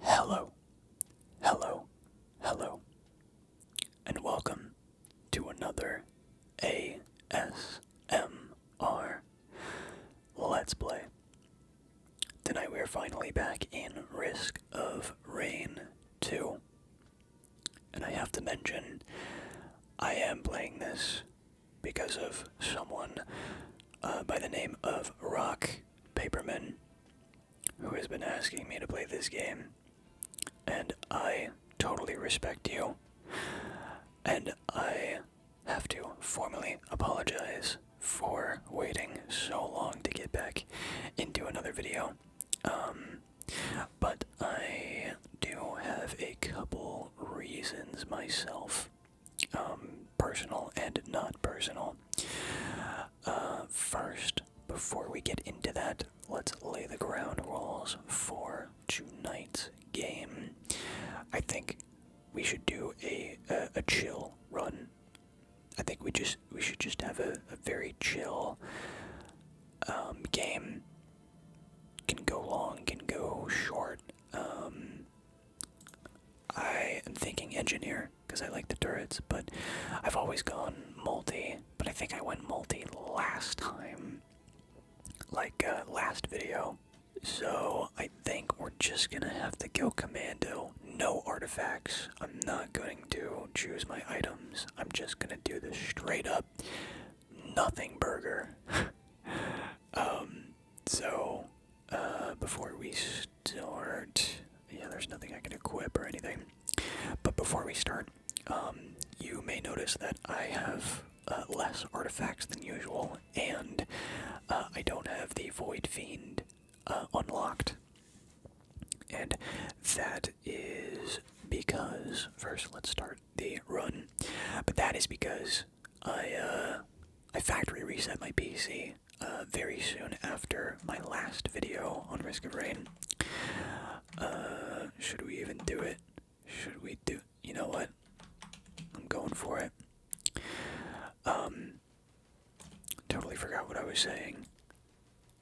Hello, hello, hello, and welcome to another ASMR Let's Play. Tonight we are finally back in Risk of Rain 2. And I have to mention, I am playing this because of someone uh, by the name of Rock Paperman who has been asking me to play this game. And I totally respect you. And I have to formally apologize for waiting so long to get back into another video. Um, but I do have a couple reasons myself, um, personal and not personal. Uh, first, before we get into that, let's lay the ground rules for tonight's game. I think we should do a, a chill run. I think we just we should just have a, very chill um, game. Can go long, can go short. Um, I am thinking engineer because I like the turrets, but I've always gone multi. But I think I went multi last time, like uh, last video. So I think we're just gonna have to go commando. No artifacts. I'm not going to choose my items. I'm just gonna do this straight up nothing burger. um, so uh, before we start, yeah, there's nothing I can equip or anything. But before we start, um, you may notice that I have uh, less artifacts than usual, and uh, I don't have the Void Fiend uh, unlocked. And that is because first let's start the run. But that is because I uh, I factory reset my PC uh, very soon after my last video on Risk of Rain. Uh, should we even do it? Should we do you know what? I'm going for it. Um totally forgot what I was saying.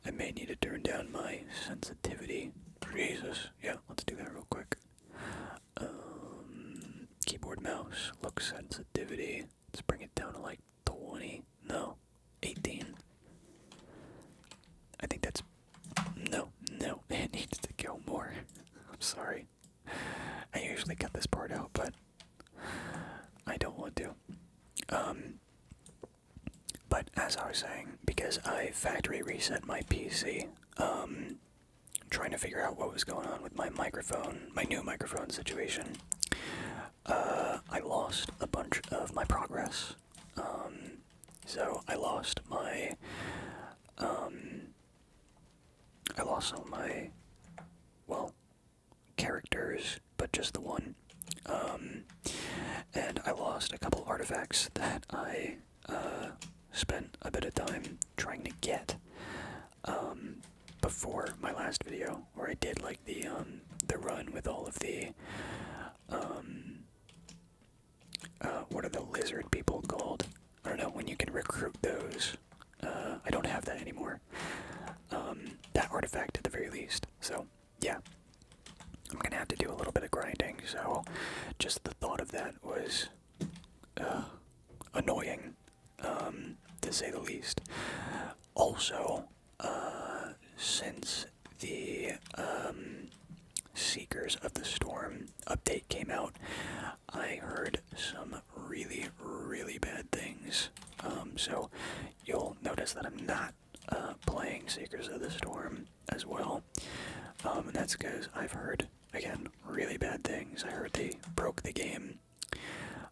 I may need to turn down my sensitivity. Jesus. Yeah, let's do that real quick. Um, keyboard mouse, look sensitivity. Let's bring it down to like 20. No, 18. I think that's. No, no, it needs to go more. I'm sorry. I usually cut this part out, but I don't want to. Um, but as I was saying, because I factory reset my PC, um, trying to figure out what was going on with my microphone, my new microphone situation, uh, I lost a bunch of my progress. Um, so I lost my, um, I lost all my, well, characters, but just the one. Um, and I lost a couple artifacts that I uh, spent a bit of time trying to get um, before my last video, where I did like the um, the run with all of the um, uh, what are the lizard people called? I don't know when you can recruit those. Uh, I don't have that anymore. Um, that artifact at the very least. So yeah, I'm gonna have to do a little bit of grinding. So, just the thought of that was uh, annoying, um, to say the least. Also, uh, since the um, Seekers of the Storm update came out, I heard some really, really bad things. Um, so, you'll notice that I'm not uh, playing Seekers of the Storm as well, um, and that's because I've heard again really bad things. I heard they broke the game.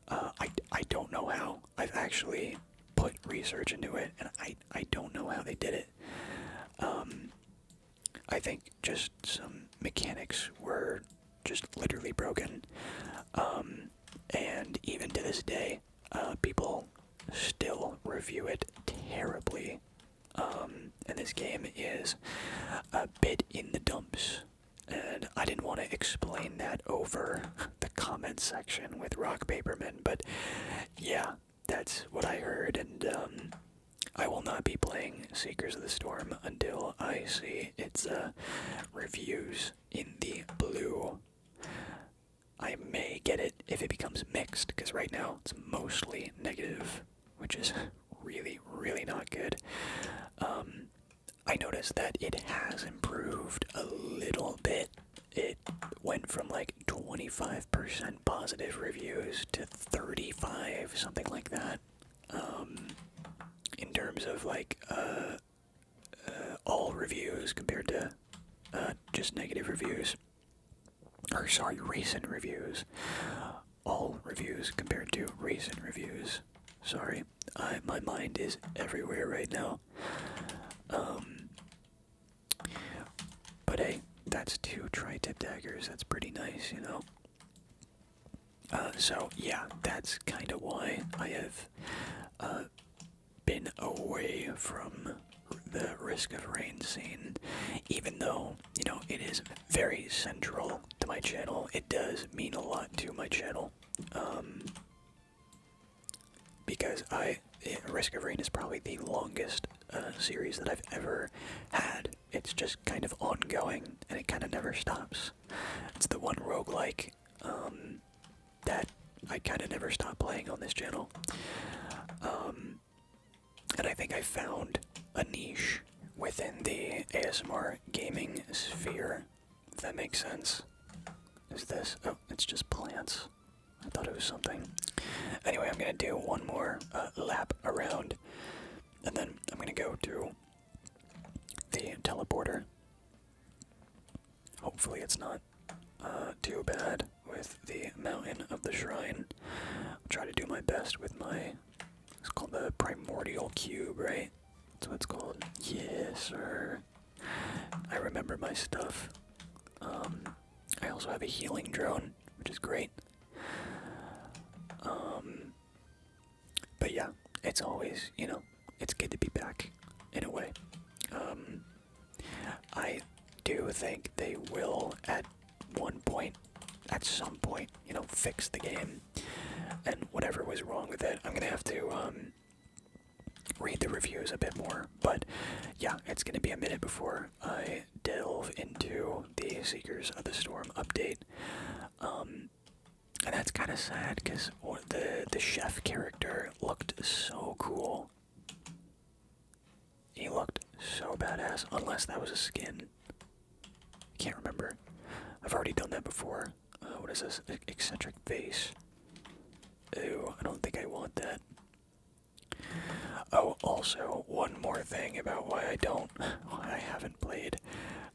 Uh, I I don't know how. I've actually put research into it, and I I don't know how they did it. Um, I think just some mechanics were just literally broken, um, and even to this day, uh, people still review it terribly. Um, and this game is a bit in the dumps. And I didn't want to explain that over the comment section with Rock Paperman, but yeah, that's what I heard. And um, I will not be playing Seekers of the Storm until I see its uh, reviews in the blue. I may get it if it becomes mixed, because right now it's mostly negative, which is really, really not good. Um, I noticed that it has improved a little bit. It went from like 25% positive reviews to 35, something like that. Um, in terms of like uh, uh, all reviews compared to uh, just negative reviews or sorry, recent reviews. All reviews compared to recent reviews. Sorry, my mind is everywhere right now. Um, but hey, that's two tri-tip daggers. That's pretty nice, you know. Uh, so yeah, that's kind of why I have uh, been away from the risk of rain scene, even though, you know, it is very central to my channel. It does mean a lot to my channel. Um, because I, Risk of Rain is probably the longest uh, series that I've ever had. It's just kind of ongoing, and it kind of never stops. It's the one roguelike um, that I kind of never stop playing on this channel. Um, and I think I found a niche within the ASMR gaming sphere, if that makes sense. Is this? Oh, it's just plants. I thought it was something. Anyway, I'm going to do one more uh, lap around, and then I'm going to go to the teleporter. Hopefully, it's not uh, too bad with the mountain of the shrine. I'll try to do my best with my. It's called the primordial cube, right? That's what it's called. Yes, sir. I remember my stuff. Um, I also have a healing drone, which is great. Um, but yeah, it's always, you know, it's good to be back in a way. Um, I do think they will at one point, at some point, you know, fix the game and whatever was wrong with it. I'm gonna have to um, read the reviews a bit more, but yeah, it's gonna be a minute before I delve into the Seekers of the Storm update. Um, and that's kind of sad because the the chef character looked so cool. He looked so badass, unless that was a skin. I can't remember. I've already done that before. Uh, what is this? eccentric face. Ew, I don't think I want that. Oh, also, one more thing about why I don't, why I haven't played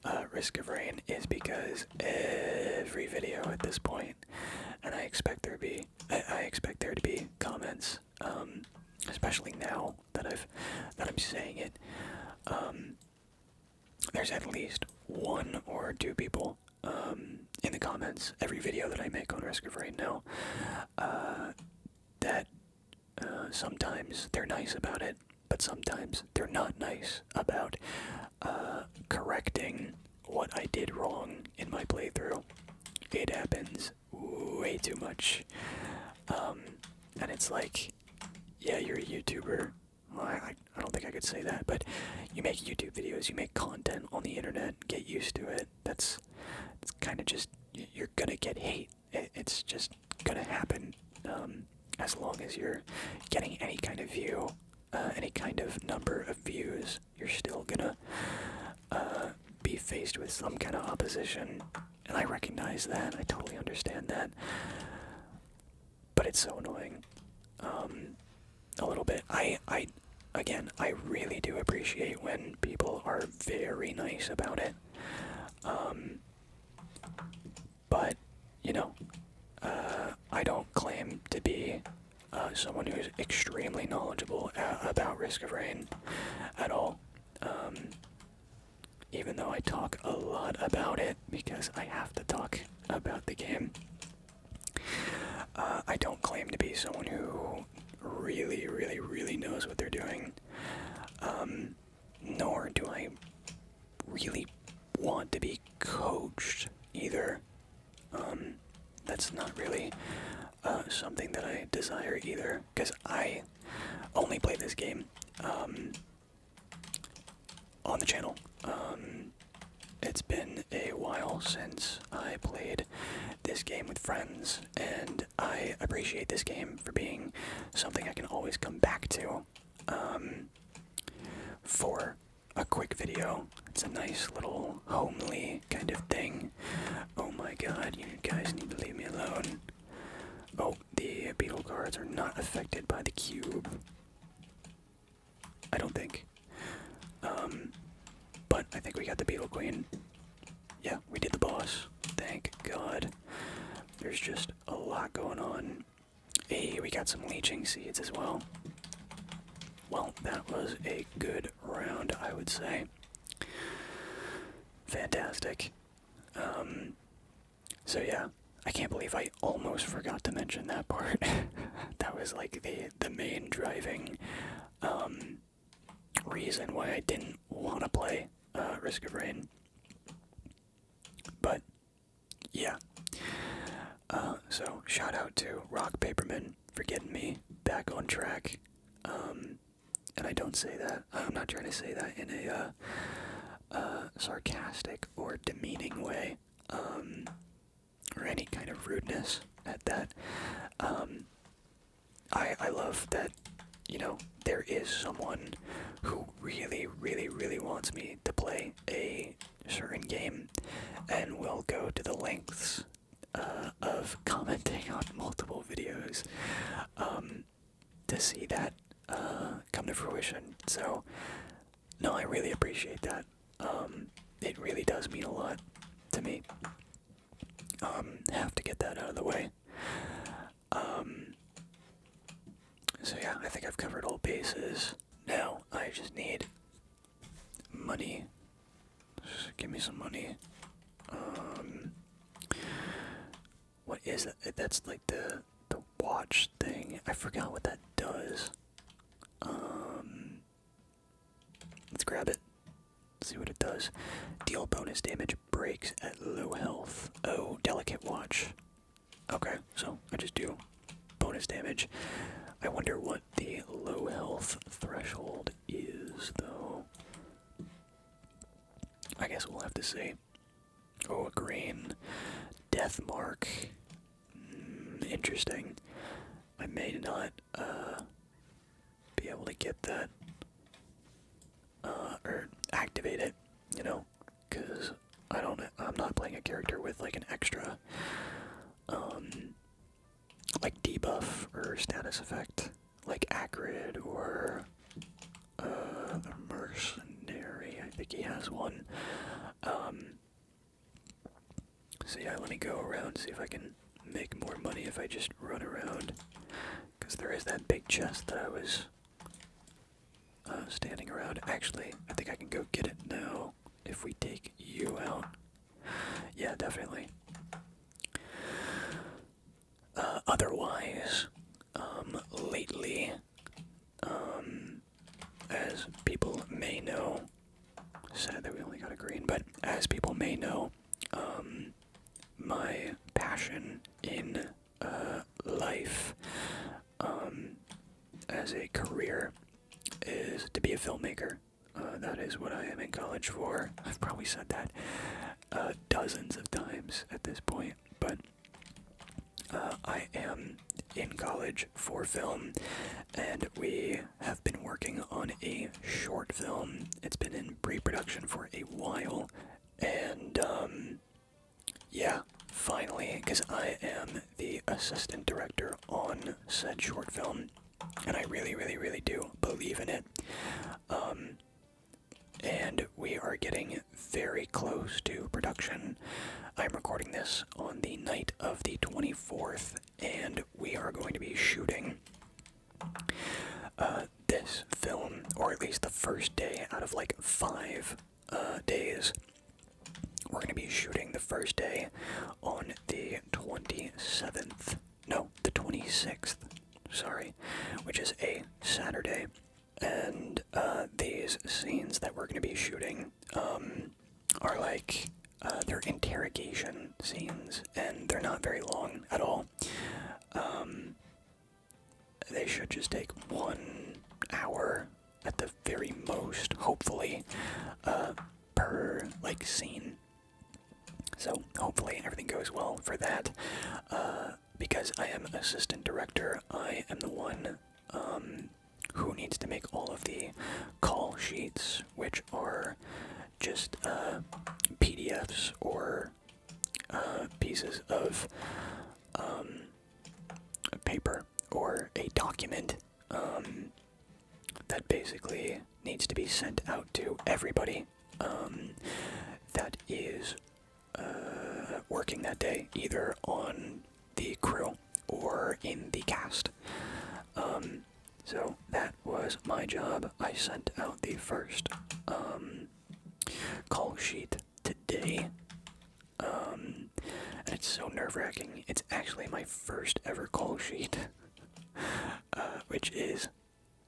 uh, Risk of Rain is because every video at this point, and I expect there to be, I expect there to be comments um, especially now that I've that I'm saying it. Um, there's at least one or two people um, in the comments every video that I make on Risk of Rain now uh, that uh, sometimes they're nice about it, but sometimes they're not nice about uh, correcting what I did wrong in my playthrough. It happens way too much. Um, and it's like, yeah, you're a YouTuber. I, I don't think I could say that, but you make YouTube videos, you make content on the internet. Get used to it. That's it's kind of just you're gonna get hate. it's just gonna happen. Um, as long as you're getting any kind of view, uh, any kind of number of views, you're still gonna uh, be faced with some kind of opposition, and I recognize that. I totally understand that, but it's so annoying. Um, a little bit. I, I, again, I really do appreciate when people are very nice about it. Um, but you know, uh, I don't claim to be uh, someone who's extremely knowledgeable about risk of rain at all. Um, even though I talk a lot about it because I have to talk about the game, uh, I don't claim to be someone who really, really, really knows what they're doing. Um, nor do I really want to be coached either. Um, that's not really uh, something that I desire either, because I only play this game um, on the channel. Um, it's been a while since I played this game with friends, and I appreciate this game for being something I can always come back to um, for a quick video. It's a nice little homely kind of thing. Oh my god, you guys need to leave me alone. Oh, the beetle cards are not affected by the cube. I don't think. Um, but I think we got the beetle queen. Yeah, we did the boss. Thank god. There's just a lot going on. Hey, we got some leeching seeds as well. Well, that was a good round, I would say. Fantastic. Um, so yeah, I can't believe I almost forgot to mention that part. that was like the the main driving um, reason why I didn't want to play uh, Risk of Rain. But yeah. Uh, so shout out to Rock Paperman for getting me back on track um, and I don't say that. I'm not trying to say that in a uh, uh, sarcastic or demeaning way, um, or any kind of rudeness at that. Um, I I love that. You know, there is someone who really, really, really wants me to play a certain game, and will go to the lengths uh, of commenting on multiple videos um, to see that uh, come to fruition. So, no, I really appreciate that. Um, it really does mean a lot to me. Um, have to get that out of the way. so yeah, I think I've covered all bases. Now I just need money Give me some money. Um, what is that? Eh, that's like the the watch thing. I forgot what that does. Um, let's grab it. See what it does. Deal bonus damage breaks at low health. Oh, delicate watch. Okay, so I just do bonus damage. I wonder what the low health threshold is, though. I guess we'll have to see. Oh, a green death mark. Hmm, interesting. I may not uh, be able to get that uh, or activate it, you know, because I don't. I'm not playing a character with like an extra um, like debuff or status effect, like Acrid or uh, Mercenary. I think he has one. Um, so yeah, let me go around see if I can make more money if I just run around, because there is that big chest that I was uh, standing around. Actually, I think I can go get it now if we take you out yeah, definitely. Uh, otherwise, um, lately, um, as people may know, sad that we only got a green, but as people may know, um, my passion in uh, life as a career is to be a filmmaker. Uh, that is what I am in college for. I've probably said that uh, dozens of times at this point, but uh, I am in college for film, and we have been working on a short film. It's been in pre production for a while, and um, yeah, finally, because I am the assistant director on said short film and I really, really, really do believe in it. Um, and we are getting very close to production. I'm recording this on the night of the 24th, and we are going to be shooting uh, this film, or at least the first day out of like five uh, days. We're going to be shooting the first day on the 27th no, the 26th, sorry, which is a Saturday. And uh, these scenes that we're going to be shooting um, are like, uh, they're interrogation scenes, and they're not very long at all. Um, they should just take one hour at the very most, hopefully, uh, per like scene. So hopefully everything goes well for that. Uh, because I am assistant director, I am the one um, who needs to make all of the call sheets, which are just uh, PDFs or uh, pieces of um, paper or a document um, that basically needs to be sent out to everybody um, that is uh, working that day, either on the crew or in the cast. Um, so that was my job. I sent out the first um, call sheet today. and it's so nerve wracking. It's actually my first ever call sheet, uh, which is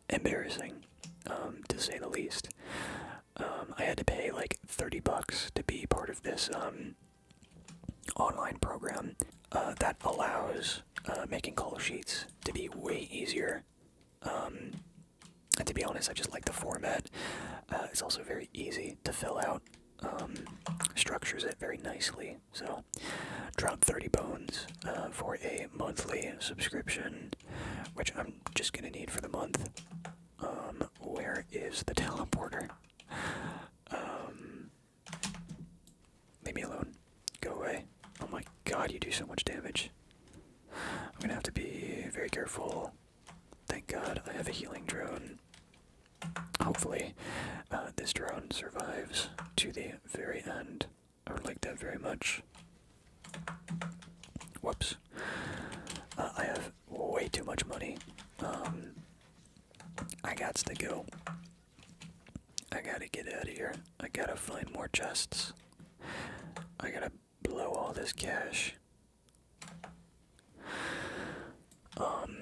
embarrassing, um, to say the least. Um, I had to pay like 30 bucks to be part of this um, online program uh, that allows uh, making call sheets to be way easier. and to be honest, I just like the format. Uh, it's also very easy to fill out. structures it very nicely. So, drop 30 bones for a monthly subscription, which I'm just gonna need for the month. Um, where is the teleporter? Um, leave me alone. Go away. Oh my god, you do so much damage. I'm gonna have to be very careful. Thank god I have a healing drone. Hopefully, uh, this drone survives to the very end. I would like that very much. Whoops. Uh, I have way too much money. Um, I got to go. I gotta get out of here. I gotta find more chests. I gotta blow all this cash. Um,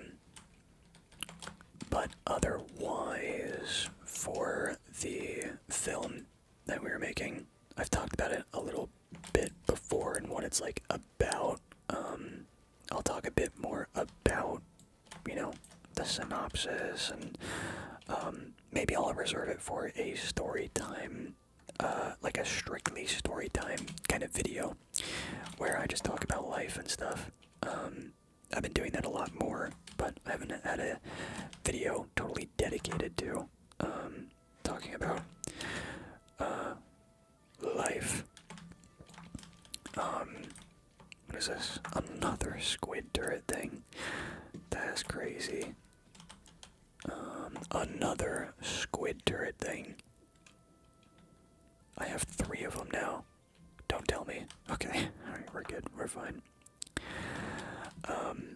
but otherwise, for the film that we were making. I've talked about it a little bit before and what it's like about. Um, I'll talk a bit more about, you know, the synopsis and um, maybe I'll reserve it for a story time, uh, like a strictly story time kind of video where I just talk about life and stuff. Um, I've been doing that a lot more, but I haven't had a video totally dedicated to um, talking about uh, life. Um, what is this? Another squid turret thing. That's crazy. Um, another squid turret thing. I have three of them now. Don't tell me. Okay, alright, we're good. We're fine. Um,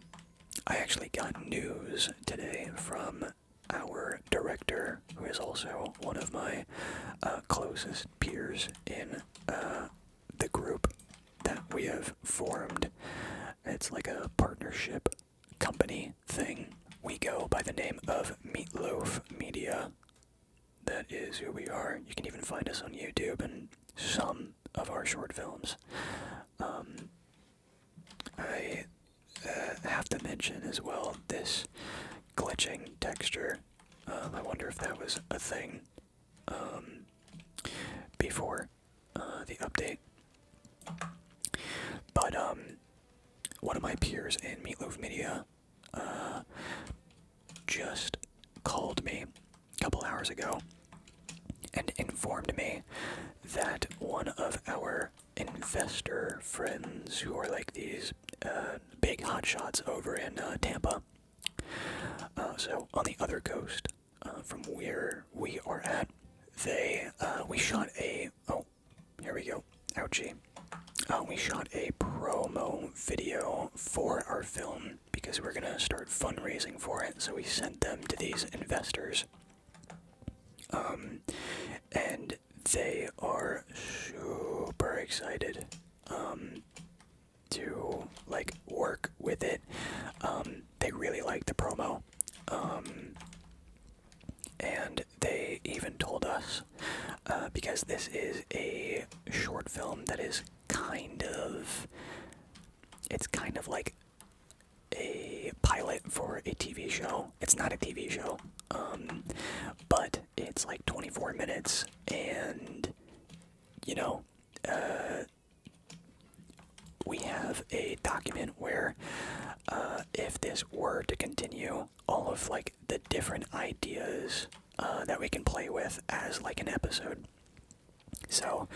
I actually got news today from our director, who is also one of my uh, closest peers in uh, the group that we have formed. It's like a partnership company thing. We go by the name of Meatloaf Media. That is who we are. You can even find us on YouTube and some of our short films. Um, I uh, have to mention as well this glitching texture. Um, I wonder if that was a thing um, before uh, the update. But one of my peers in Meatloaf Media uh, just called me a couple hours ago and informed me that one of our investor friends who are like these uh, big hotshots over in uh, Tampa, uh, so on the other coast uh, from where we are at, they we shot a oh here we go ouchie we shot a promo video for our film because we're going to start fundraising for it. So we sent them to these investors. Um, and they are super excited um, to like work with it. Um, they really like the promo. and they even told us uh, because this is a short film that is kind of it's kind of like a pilot for a TV show. It's not a TV show, um, but it's like 24 minutes, and you know, uh, we have a document where uh, if this were to continue, all of like the different ideas uh, that we can play with as like an episode. So,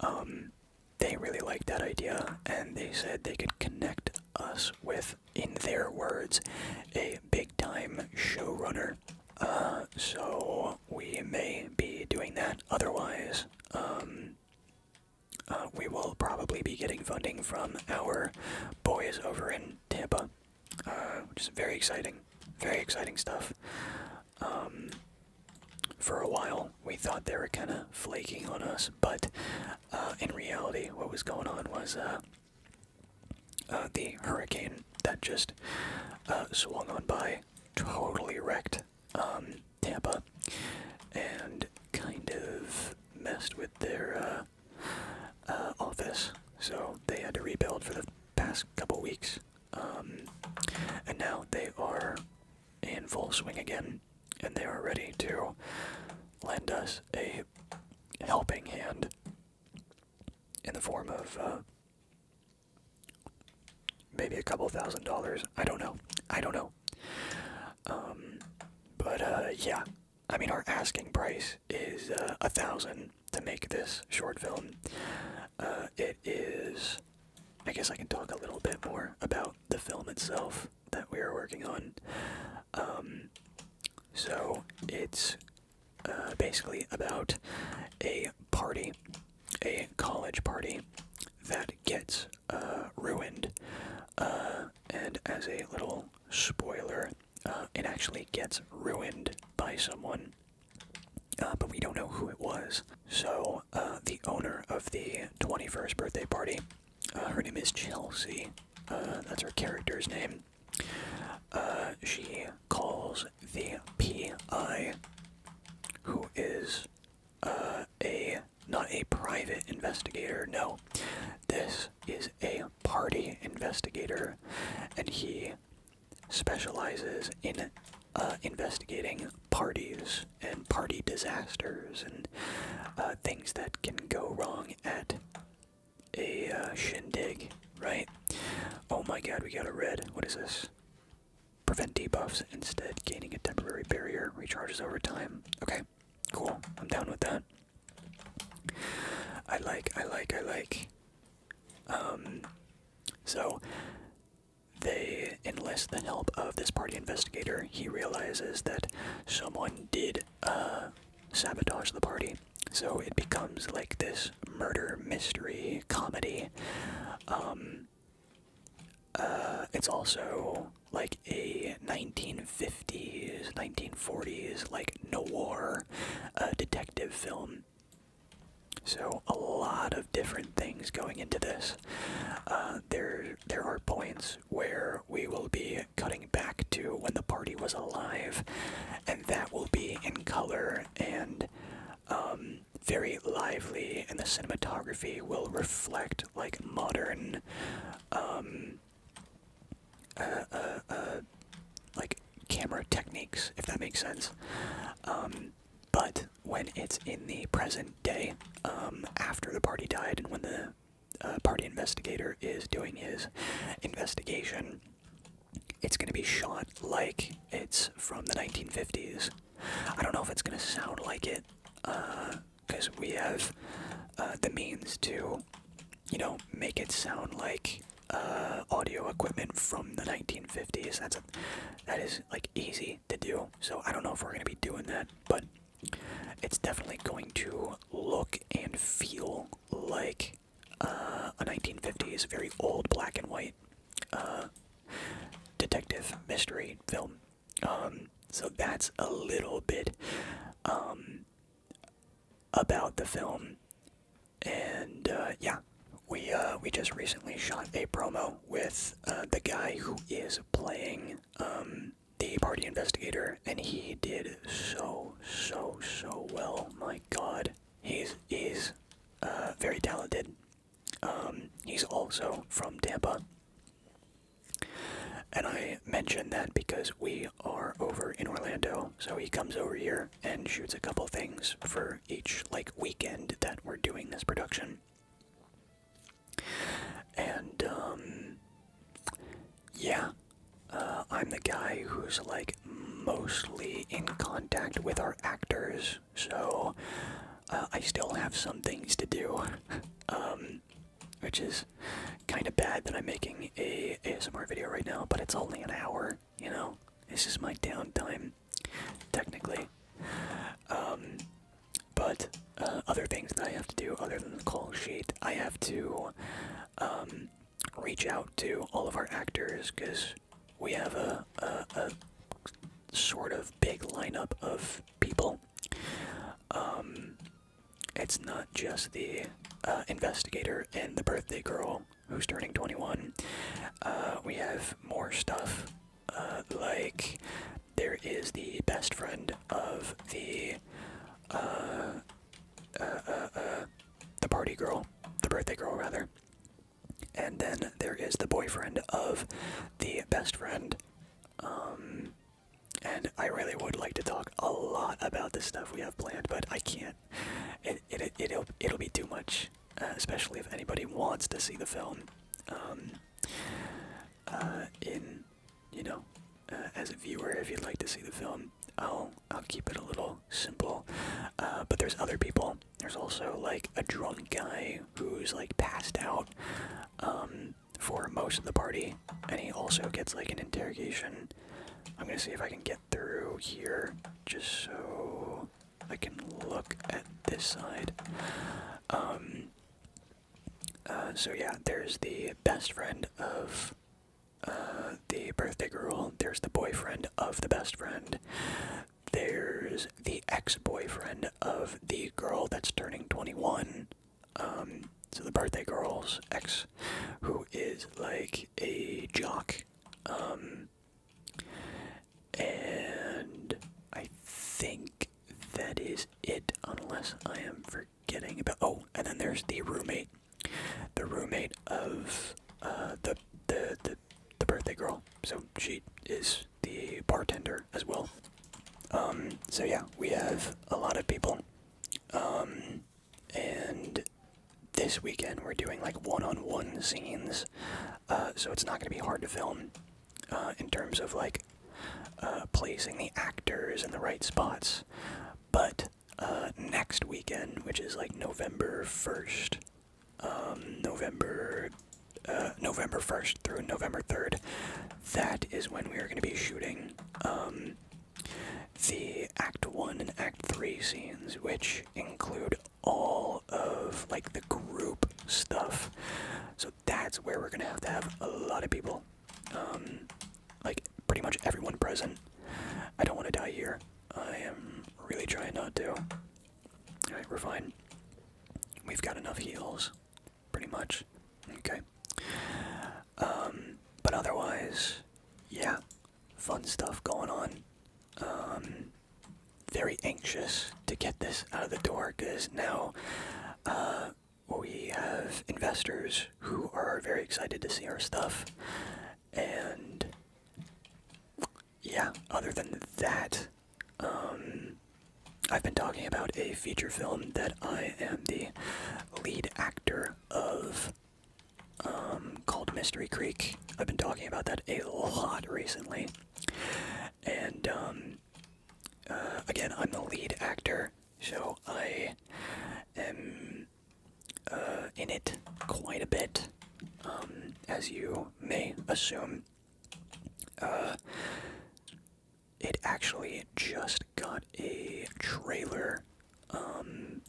um, they really liked that idea, and they said they could connect us with, in their words, a big time showrunner. Uh, so we may be doing that. Otherwise, um, uh, we will probably be getting funding from our boys over in Tampa, uh, which is very exciting. Very exciting stuff. Um, for a while, we thought they were kind of flaking on us, but uh, in reality, what was going on was uh, uh, the hurricane that just swung on by totally wrecked um, Tampa and kind of messed with their office, so they had to rebuild for the past couple weeks. Um, and now they are in full swing again, and they are ready to lend us a helping hand in the form of uh, maybe a couple thousand dollars. I don't know. I don't know. Um, but uh, yeah, I mean, our asking price is uh, a thousand to make this short film. it is I guess I can talk a little bit more about the film itself that we are working on. Um, so it's uh, basically about a party, a college party that gets uh, ruined. Uh, and as a little spoiler, it actually gets ruined by someone uh, but we don't know who it was. So uh, the owner of the 21st birthday party, uh, her name is Chelsea. that's her character's name. she calls the PI, who is a not a private investigator. No, this is a party investigator, and he specializes in uh, investigating parties and party disasters and uh, things that can go wrong at a uh, shindig, right? Oh my god, we got a red. What is this? Prevent debuffs instead, gaining a temporary barrier, recharges over time. Okay, cool. I'm down with that. I like, I like, I like. Um, so they enlist the help of this party investigator. He realizes that someone did uh, sabotage the party, so it becomes like this murder mystery comedy. Um, uh, it's also like a 1950s, 1940s, like noir uh, detective film. So a lot of different things going into this. Uh, there, there are points where we will be cutting back to when the party was alive, and that will be in color and um, very lively, and the cinematography will reflect like modern, um, uh, uh, like camera techniques, if that makes sense. Um, but when it's in the present day, um, after the party died and when the uh, party investigator is doing his investigation, it's going to be shot like it's from the 1950s. I don't know if it's going to sound like it, because uh, we have uh, the means to, you know, make it sound like audio equipment from the 1950s. That's that is like easy to do. So I don't know if we're going to be doing that, but it's definitely going to look and feel like uh, a 1950s, very old black and white uh, detective mystery film. Um, so that's a little bit um, about the film. And uh, yeah, we uh, we just recently shot a promo with uh, the guy who is playing um, the party investigator, and he did so so so well. My God, he's is uh, very talented. Um, he's also from Tampa. And I mention that because we are over in Orlando, so he comes over here and shoots a couple things for each like weekend that we're doing this production. And, um, yeah, uh, I'm the guy who's like mostly in contact with our actors, so uh, I still have some things to do. Um, which is kind of bad that I'm making a ASMR video right now, but it's only an hour, you know? This is my downtime technically. Um, but uh, other things that I have to do other than the call sheet, I have to um, reach out to all of our actors because we have a, sort of big lineup of people. Um, it's not just the uh, investigator and the birthday girl who's turning 21. Uh, we have more stuff uh, like there is the best friend of the uh, uh, the party girl, the birthday girl rather, and then there is the boyfriend of the best friend. Um, and I really would like to talk a lot about the stuff we have planned, but I can't. It it it'll it'll be too much. Uh, especially if anybody wants to see the film um, uh, in you know uh, as a viewer if you'd like to see the film I'll I'll keep it a little simple uh, but there's other people there's also like a drunk guy who's like passed out um, for most of the party and he also gets like an interrogation I'm gonna see if I can get through here just so I can look at this side. Um, uh, so yeah, there's the best friend of uh, the birthday girl. There's the boyfriend of the best friend. There's the ex-boyfriend of the girl that's turning 21. Um, so the birthday girl's ex, who is like a jock. Um, and I think that is it, unless I am forgetting about. Oh, and then there's the roommate, the roommate of uh, the, the the birthday girl. So she is the bartender as well. Um, so yeah, we have a lot of people. Um, and this weekend we're doing like one-on-one scenes, uh, so it's not going to be hard to film. Uh, in terms of like uh, placing the actors in the right spots. But uh, next weekend, which is like November 1st, um, November November 1st through November 3rd, that is when we are going to be shooting um, the Act 1 and Act 3 scenes, which include all of like the group stuff. So that's where we're gonna have to have a lot of people, um, like pretty much everyone present. I don't want to die here. I am really trying not to. All right, we're fine. We've got enough heals, pretty much. Okay. Um, but otherwise, yeah, fun stuff going on. Um, very anxious to get this out of the door because now uh, we have investors who are very excited to see our stuff. And yeah, other than that, um, I've been talking about a feature film that I am the lead actor of um, called Mystery Creek. I've been talking about that a lot recently. And um, uh, again, I'm the lead actor, so I am uh, in it quite a bit, um, as you may assume. Uh, it actually just got a trailer um,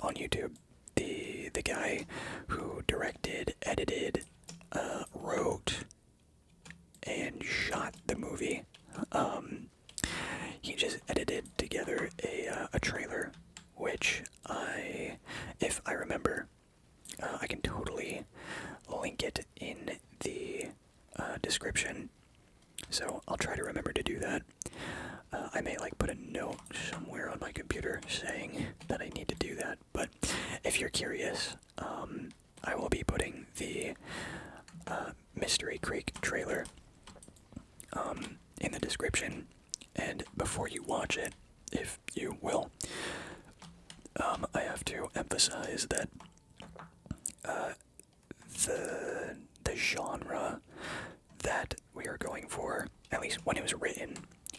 on YouTube. The the guy who directed, edited, wrote and shot the movie. Um, he just edited together a uh, a trailer, which I, if I remember, uh, I can totally link it in the uh, description. So I'll try to remember to do that. I may like put a note somewhere on my computer saying that I need to do that but if you're curious, um, I will be putting the uh, Mystery Creek trailer um, in the description. And before you watch it, if you will, um, I have to emphasize that uh, the the genre that we are going for, at least when it was written,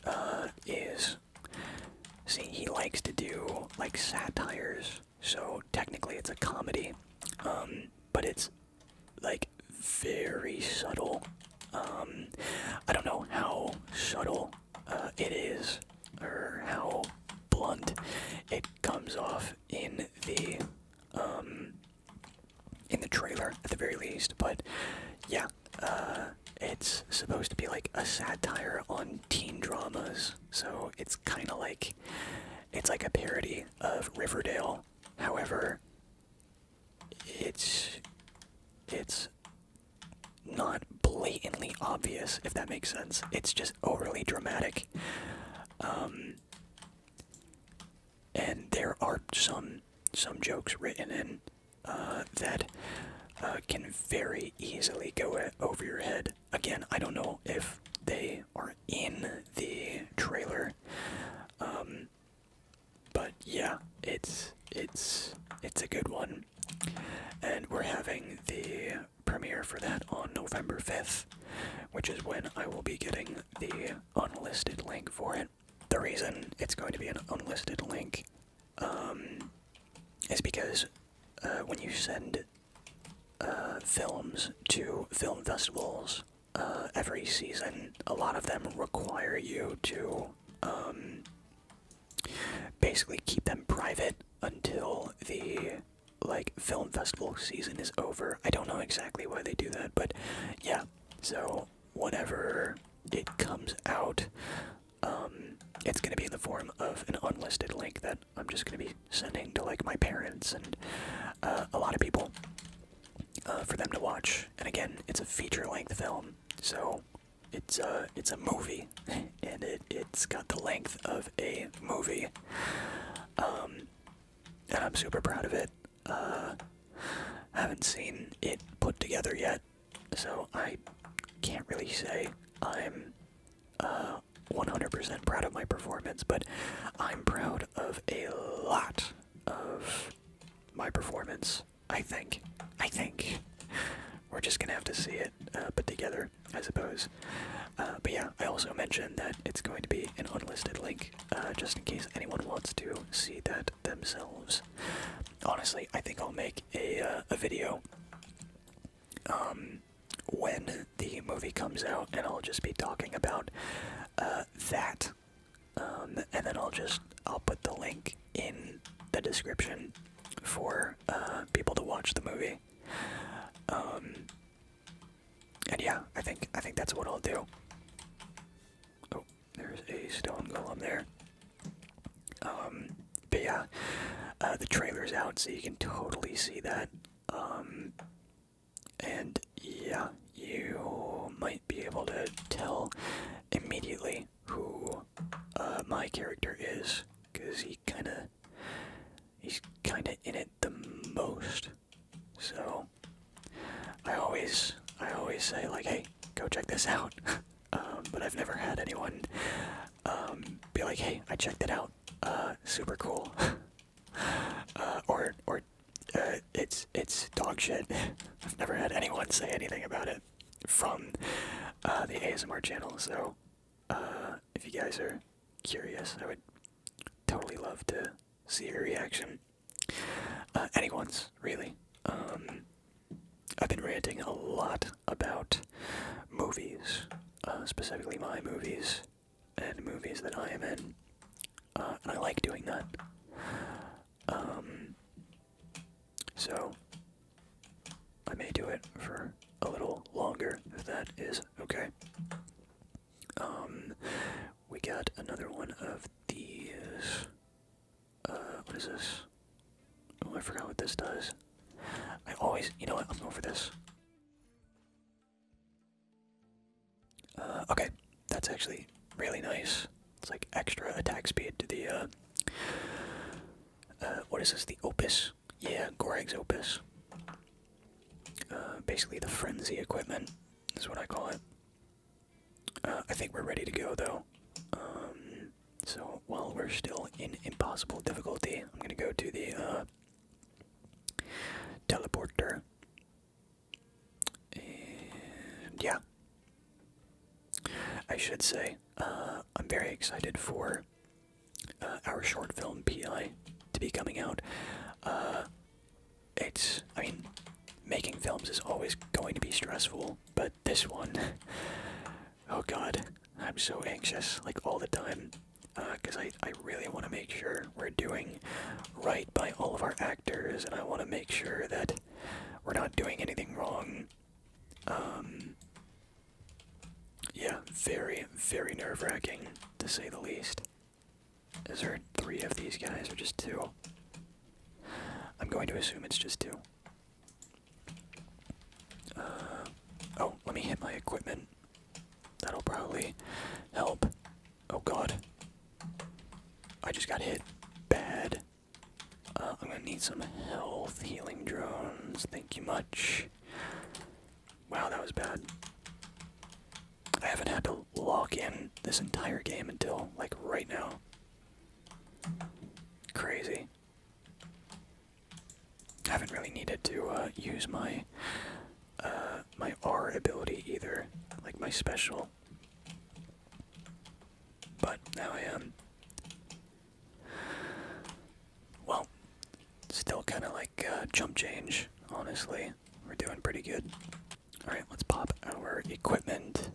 uh, is see he likes to do like satires so technically it's a comedy um, but it's like very subtle um, i don't know how subtle uh, it is or how blunt it comes off in the um, in the trailer at the very least but yeah uh, it's supposed to be like a satire on teen dramas. So it's kind of like it's like a parody of Riverdale. However, it's it's not blatantly obvious if that makes sense. It's just overly dramatic. Um and there are some some jokes written in uh that uh, can very easily go over your head. Again, I don't know if they are in the trailer, um, but yeah, it's it's it's a good one, and we're having the premiere for that on November fifth, which is when I will be getting the unlisted link for it. The reason it's going to be an unlisted link um, is because uh, when you send uh, films to film festivals uh, every season, a lot of them require you to um, basically keep them private until the like film festival season is over. I don't know exactly why they do that, but yeah. So whatever it comes out, um, it's going to be in the form of an unlisted link that I'm just going to be sending to like my parents and uh, a lot of people uh, for them to watch. And again, it's a feature-length film, so it's a uh, it's a movie, and it it's got the length of a movie. Um, and I'm super proud of it. Uh, haven't seen it put together yet. So I can't really say I'm 100% uh, proud of my performance, but I'm proud of a lot of my performance. I think. I think. We're just gonna have to see it uh, put together, I suppose. Uh, but yeah, I also mentioned that it's going to be an unlisted link, uh, just in case anyone wants to see that themselves. Honestly, I think I'll make a, a video um, when the movie comes out, and I'll just be talking about uh, that. Um, and then I'll just I'll put the link in the description for uh, people to watch the movie. Um, and yeah, I think I think that's what I'll do. Oh, there's a stone golem there. Um, but yeah, uh, the trailer's out, so you can totally see that. Um, and yeah, you might be able to tell immediately who uh, my character is, because he kind of he's kind of in it the most. So I always I always say like, hey, go check this out. Um, but I've never had anyone um, be like, "Hey, I checked it out. Uh, super cool," uh, or or uh, it's it's dog shit. I've never had anyone say anything about it from the ASMR channel. So if you guys are curious, I would totally love to see your reaction. anyone's really. Um, I've been ranting a lot about movies, uh, specifically my movies and movies that I am in, uh, and I like doing that. Um, so I may do it for a little longer if that is okay. Um, we got another one of these. Uh, what is this? Oh, I forgot what this does. I always, you know what? I'm going for this. Uh, okay, that's actually really nice. It's like extra attack speed to the, uh, uh, what is this? The Opus? Yeah, Gorag's Opus. basically the Frenzy equipment is what I call it. I think we're ready to go though. Um, so while we're still in impossible difficulty, I'm gonna go to the uh, teleporter. And yeah, I should say uh, I'm very excited for uh, our short film PI to be coming out. it's, I mean, making films is always going to be stressful, but this one Oh god, I'm so anxious, like all the time, because uh, I, I really want to make sure we're doing right by all of our actors, and I want to make sure that we're not doing anything wrong. Um, yeah, very, very nerve wracking, to say the least. Is there three of these guys, or just two? I'm going to assume it's just two. Uh, oh, let me hit my equipment. That'll probably help. Oh god. I just got hit bad. Uh, I'm gonna need some health healing drones. Thank you much. Wow, that was bad. I haven't had to log in this entire game until, like, right now. Crazy. I haven't really needed to uh, use my uh, my R ability either, like my special. But now I am. Well, still kind of like uh, jump change, honestly. We're doing pretty good. Alright, let's pop our equipment.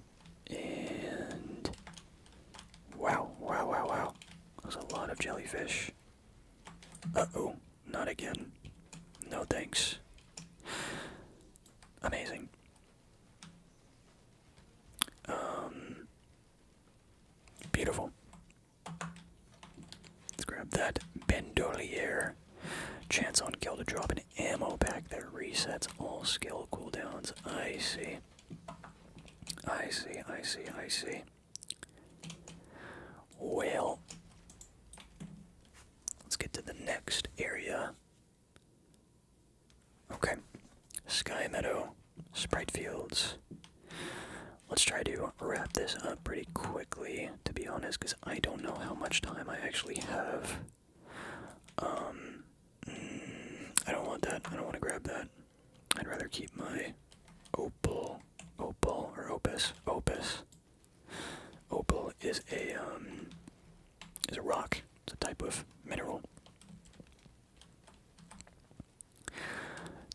And. Wow, wow, wow, wow. That was a lot of jellyfish. Uh-oh, not again. No thanks. Amazing. Um beautiful. Let's grab that Bandolier. Chance on kill to drop an ammo pack that resets all skill cooldowns. I see. I see, I see, I see. Well, let's get to the next area. Okay, Sky Meadow, Sprite Fields. Let's try to wrap this up pretty quickly, to be honest, because I don't know how much time I actually have. Um, mm, I don't want that. I don't want to grab that. I'd rather keep my opal, opal or opus, opus. Opal is a um, is a rock. It's a type of mineral.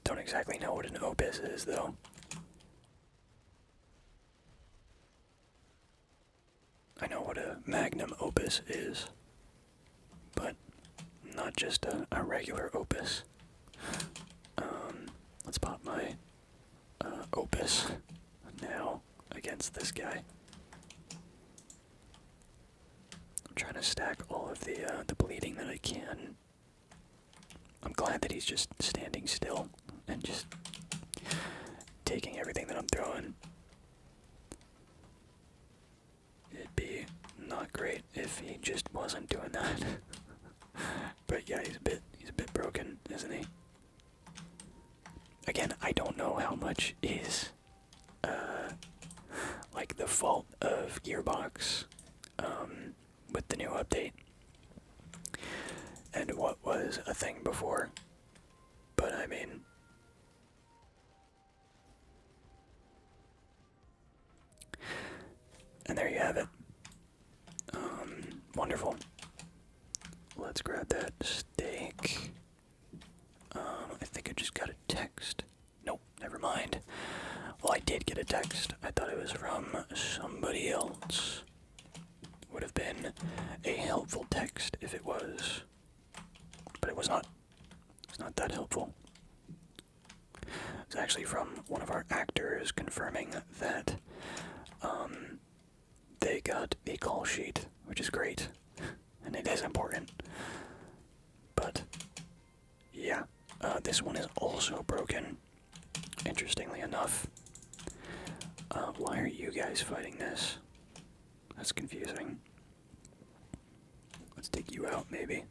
Don't exactly know what an opus is though. I know what a magnum opus is but not just a, regular opus. Um, let's pop my uh, opus now against this guy. I'm trying to stack all of the uh, the bleeding that I can. I'm glad that he's just standing still and just taking everything that I'm throwing it'd be not great if he just wasn't doing that. but yeah, he's a bit he's a bit broken, isn't he? Again, I don't know how much is uh like the fault of Gearbox um with the new update. And what was a thing before. But I mean and there you have it. Um, wonderful. Let's grab that steak. Um, I think I just got a text. Nope, never mind. Well, I did get a text. I thought it was from somebody else. Would have been a helpful text if it was. But it was not. It's not that helpful. It's actually from one of our actors confirming that um, they got a call sheet, which is great, and it is important. But yeah, uh, this one is also broken. Interestingly enough, uh, why are you guys fighting this? That's confusing. Let's take you out, maybe.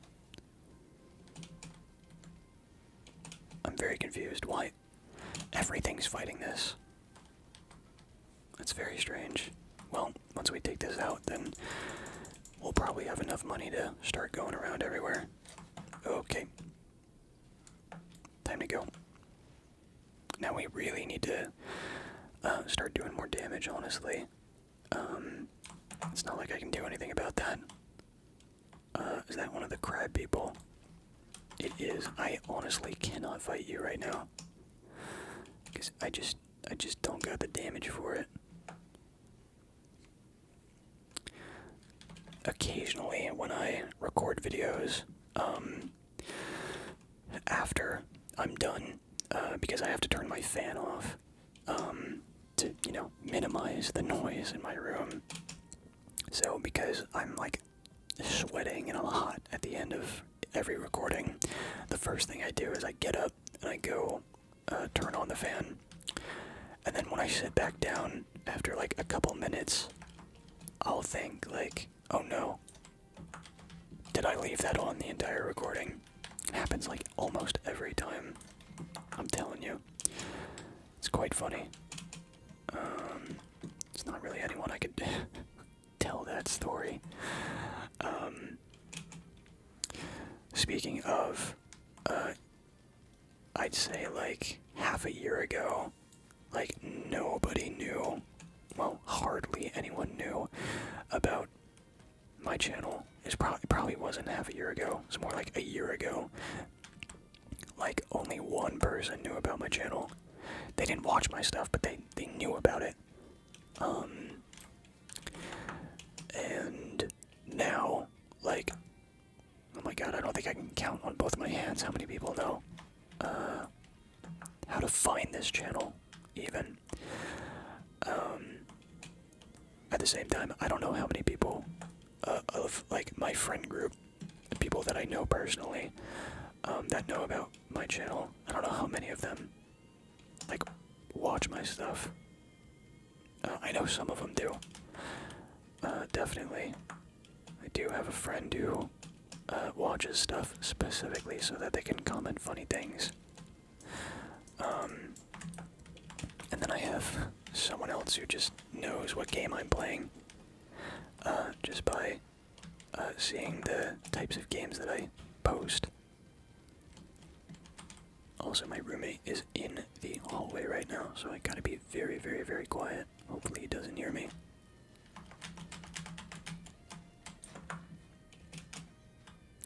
I'm very confused. Why? Everything's fighting this. That's very strange. Well, once we take this out, then we'll probably have enough money to start going around everywhere. Okay. Time to go. Now we really need to uh, start doing more damage, honestly. Um, it's not like I can do anything about that. Uh, is that one of the crab people? It is. I honestly cannot fight you right now. Because I just, I just don't got the damage for it. Occasionally, when I record videos, um, after I'm done, uh, because I have to turn my fan off, um, to you know minimize the noise in my room. So because I'm like sweating and I'm hot at the end of every recording, the first thing I do is I get up and I go uh, turn on the fan, and then when I sit back down after like a couple minutes, I'll think like, oh no, did I leave that on the entire recording? Happens like almost every time. I'm telling you. It's quite funny. Um, it's not really anyone I could tell that story. Um, speaking of, uh, I'd say like half a year ago, like nobody knew, well, hardly anyone knew about my channel is probably probably wasn't half a year ago. It's more like a year ago. Like only one person knew about my channel. They didn't watch my stuff, but they they knew about it. Um and now like oh my god, I don't think I can count on both my hands how many people know uh how to find this channel even. Um at the same time, I don't know how many people uh, of like my friend group, people that I know personally, um, that know about my channel. I don't know how many of them like watch my stuff. Uh, I know some of them do. Uh, definitely, I do have a friend who watches stuff specifically so that they can comment funny things um, and then I have someone else who just knows what game I'm playing uh, just by uh, seeing the types of games that I post. Also, my roommate is in the hallway right now, so I gotta be very, very, very quiet. Hopefully, he doesn't hear me.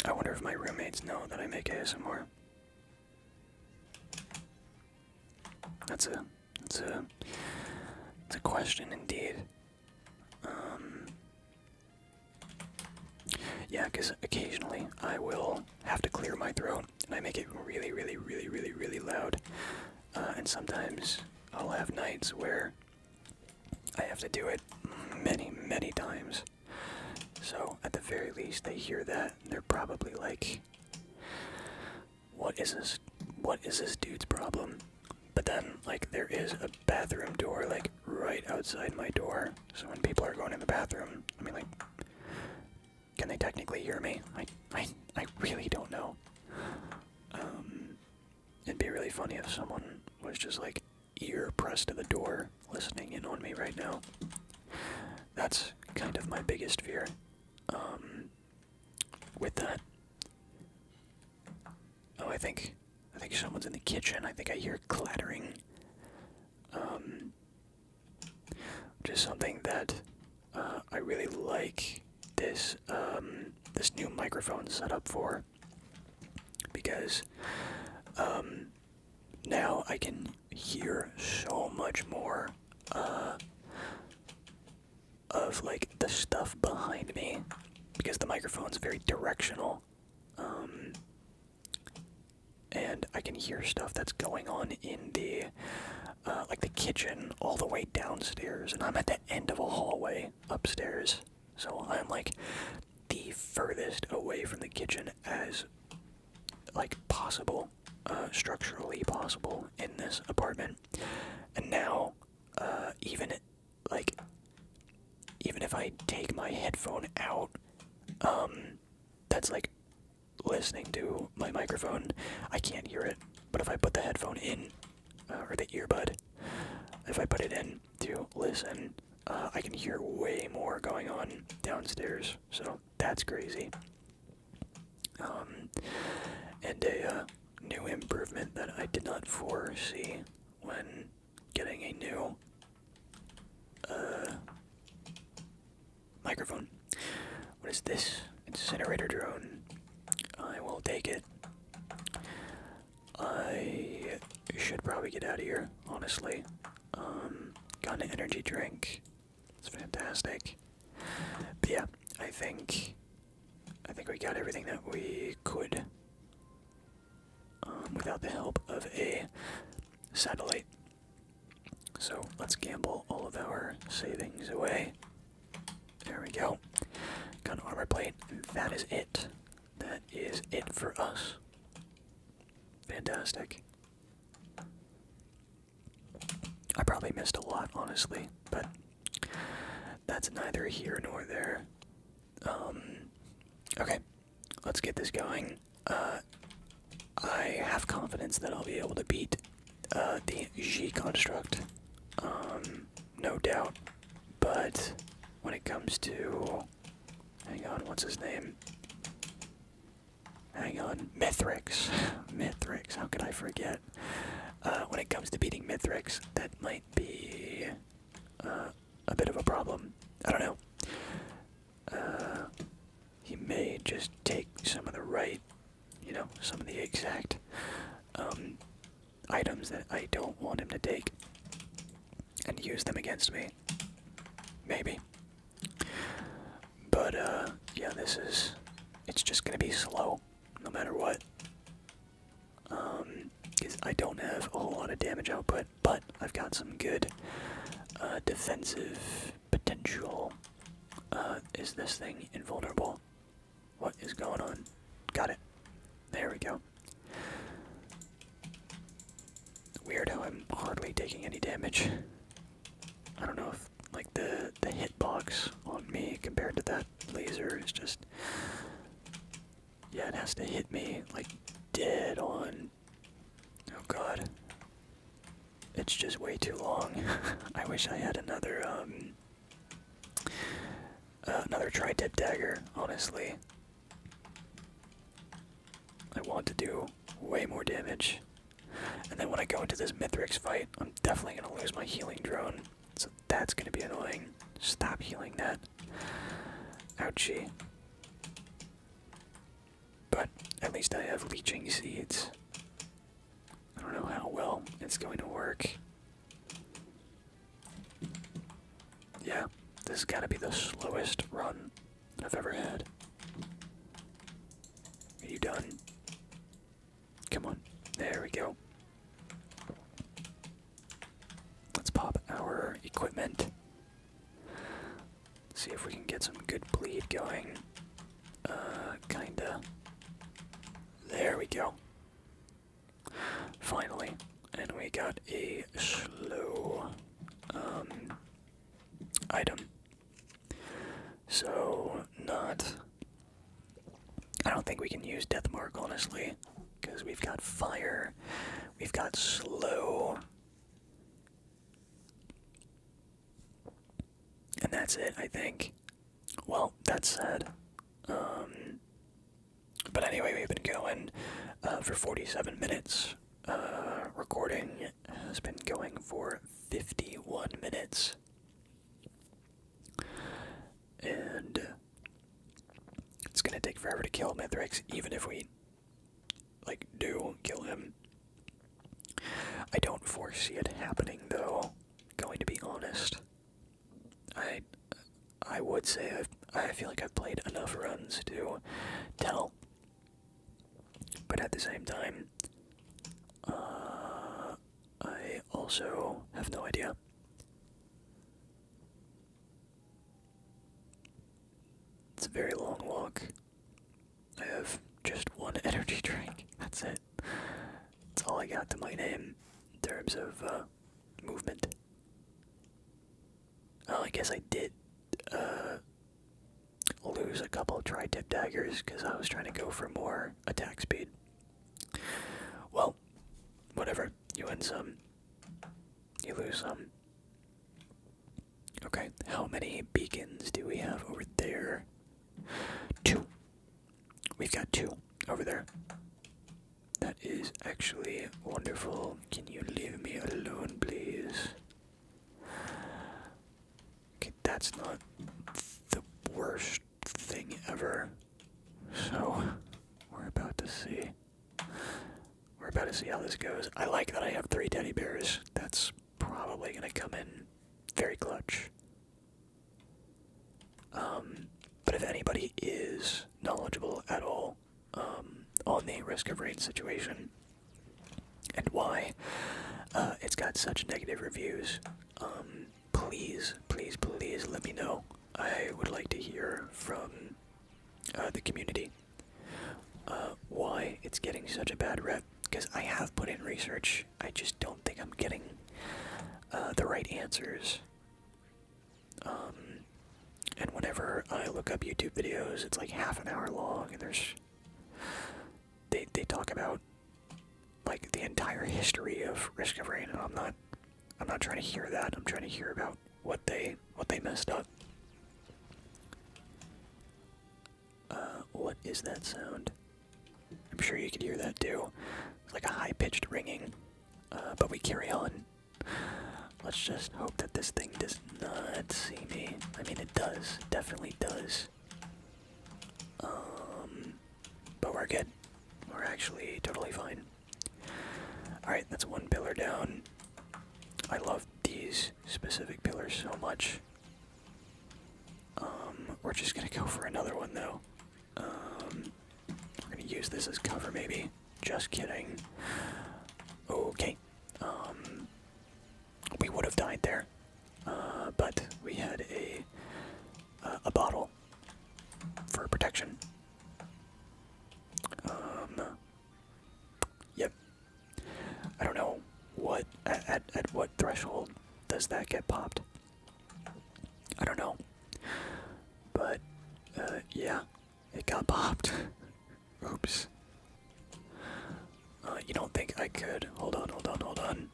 I wonder if my roommates know that I make ASMR. That's a that's a it's a question indeed. Um, yeah, because occasionally I will have to clear my throat, and I make it really, really, really, really, really loud. Uh, and sometimes I'll have nights where I have to do it many, many times. So, at the very least, they hear that. they're probably like, what is this? What is this dude's problem? But then, like, there is a bathroom door, like, right outside my door. So when people are going in the bathroom, I mean, like, can they technically hear me? I, I, I really don't know. Um, it'd be really funny if someone was just, like, ear pressed to the door listening in on me right now. That's kind of my biggest fear. Um, with that, oh, I think I think someone's in the kitchen. I think I hear clattering. Um, just something that uh, I really like this um, this new microphone set up for because um, now I can hear so much more uh, of like the stuff behind me because the microphone's very directional. Um, and I can hear stuff that's going on in the uh, like the kitchen all the way downstairs, and I'm at the end of a hallway upstairs, so I'm like the furthest away from the kitchen as like possible, uh, structurally possible in this apartment. And now, uh, even like, even if I take my headphone out, um, that's like listening to my microphone. I can't hear it. But if I put the headphone in, uh, or the earbud, if I put it in to listen, uh, I can hear way more going on downstairs. So that's crazy. Um, and a uh, new improvement that I did not foresee when getting a new uh, microphone. What is this? Incinerator drone. I will take it. I should probably get out of here, honestly. Um, got an energy drink. It's fantastic. yeah, I think I think we got everything that we could um, without the help of a satellite. So let's gamble all of our savings away. There we go. Got an armor plate. That is it. That is it for us. Fantastic. I probably missed a lot, honestly, but that's neither here nor there. Um, okay, let's get this going. Uh, I have confidence that I'll be able to beat uh, the G construct, um, no doubt. But when it comes to, hang on, what's his name? Hang on, Mithrix. Mithrix, how can I forget? Uh, when it comes to beating Mithrix, that might be uh, a bit of a problem. I don't know. Uh, he may just take some of the right, you know, some of the exact um, items that I don't want him to take and use them against me. Maybe. But uh yeah, this is it's just gonna be slow no matter what. Um because I don't have a whole lot of damage output, but I've got some good uh defensive potential. Uh is this thing invulnerable? What is going on? Got it. There we go. Weirdo, I'm hardly taking any damage. I don't know if like the the hitbox on me compared to that laser is just yeah it has to hit me like dead on. Oh god. It's just way too long. I wish I had another um uh, another tri-tip dagger, honestly. I want to do way more damage and then when I go into this Mithrix fight, I'm definitely going to lose my healing drone. So that's going to be annoying. Stop healing that. Ouchie. But at least I have leeching seeds. I don't know how well it's going to work. Yeah, this is got to be the slowest run I've ever had. Are you done? Come on. There we go. Let's pop our equipment. See if we can get some good bleed going. Uh, kinda. There we go. Finally. And we got a slow um, item. So, not. I don't think we can use Deathmark, honestly, because we've got Fire, we've got Slow. And that's it, I think. Well, that's sad. Um, but anyway, we've been going uh, for 47 minutes uh, recording, has been going for 51 minutes. And it's going to take forever to kill Mithrax. even if we, like, do kill him. I don't foresee it happening, though, going to be honest. I I would say i I feel like I've played enough runs to tell but at the same time, uh, I also have no idea. It's a very long walk. I have just one energy drink. That's it. That's all I got to my name in terms of uh, movement. Oh, I guess I did uh, lose a couple of tri tip daggers because I was trying to go for more attack speed. Well, whatever. You win some, you lose some. Okay, how many beacons do we have over there? Two. We've got two over there. That is actually wonderful. Can you leave me alone, please? Okay, that's not the worst thing ever. So, we're about to see. We're about to see how this goes. I like that I have three teddy bears. That's probably going to come in very clutch. Um, but if anybody is knowledgeable at all um, on the risk of rain situation, and why uh, it's got such negative reviews. Um, please, please, please let me know. I would like to hear from uh, the community uh, why it's getting such a bad rep. Because I have put in research, I just don't think I'm getting the right answers. Um, and whenever I look up YouTube videos, it's like half an hour long, and there's they they talk about like the entire history of Risk of Rain, and I'm not I'm not trying to hear that. I'm trying to hear about what they what they messed up. Uh, what is that sound? I'm sure you could hear that too. It's like a high pitched ringing. Uh, but we carry on. Let's just hope that this thing does not see me. I mean, it does. definitely does. Um, but we're good. We're actually totally fine. Alright, that's one pillar down. I love these specific pillars so much. Um, we're just gonna go for another one though. Um, we're gonna use this as cover maybe. Just kidding. Okay we would have died there. Uh, but we had a uh, a bottle for protection. Um, yep. I don't know what at, at what threshold does that get popped. I don't know. But uh, yeah, it got popped. Oops. Uh, you don't think I could? Hold on, hold on, hold on.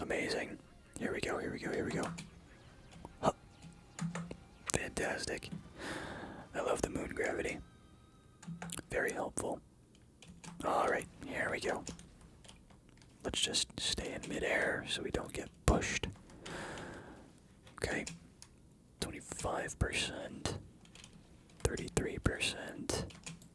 Amazing. Here we go, here we go, here we go. Fantastic. I love the moon gravity. Very helpful. Alright, here we go. Let's just stay in midair so we don't get pushed. Okay. 25%, 33%,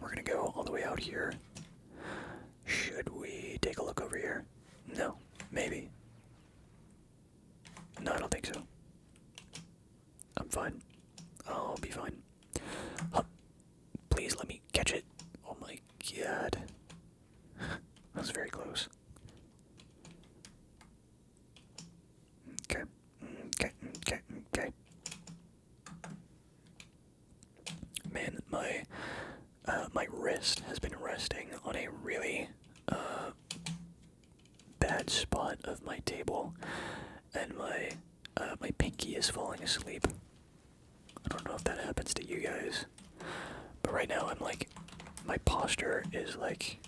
We're gonna go all the way out here. Should we take a look over here? No. Maybe. No, I don't think so. I'm fine. I'll be fine. Please let me catch it. Oh my god. that was very close. Okay. Mm, okay. Mm, okay. Mm, okay. Man, my uh, my wrist has been resting on a really uh, bad spot of my table, and my uh, my pinky is falling asleep. I don't know if that happens to you guys, but right now I'm like, my posture is like,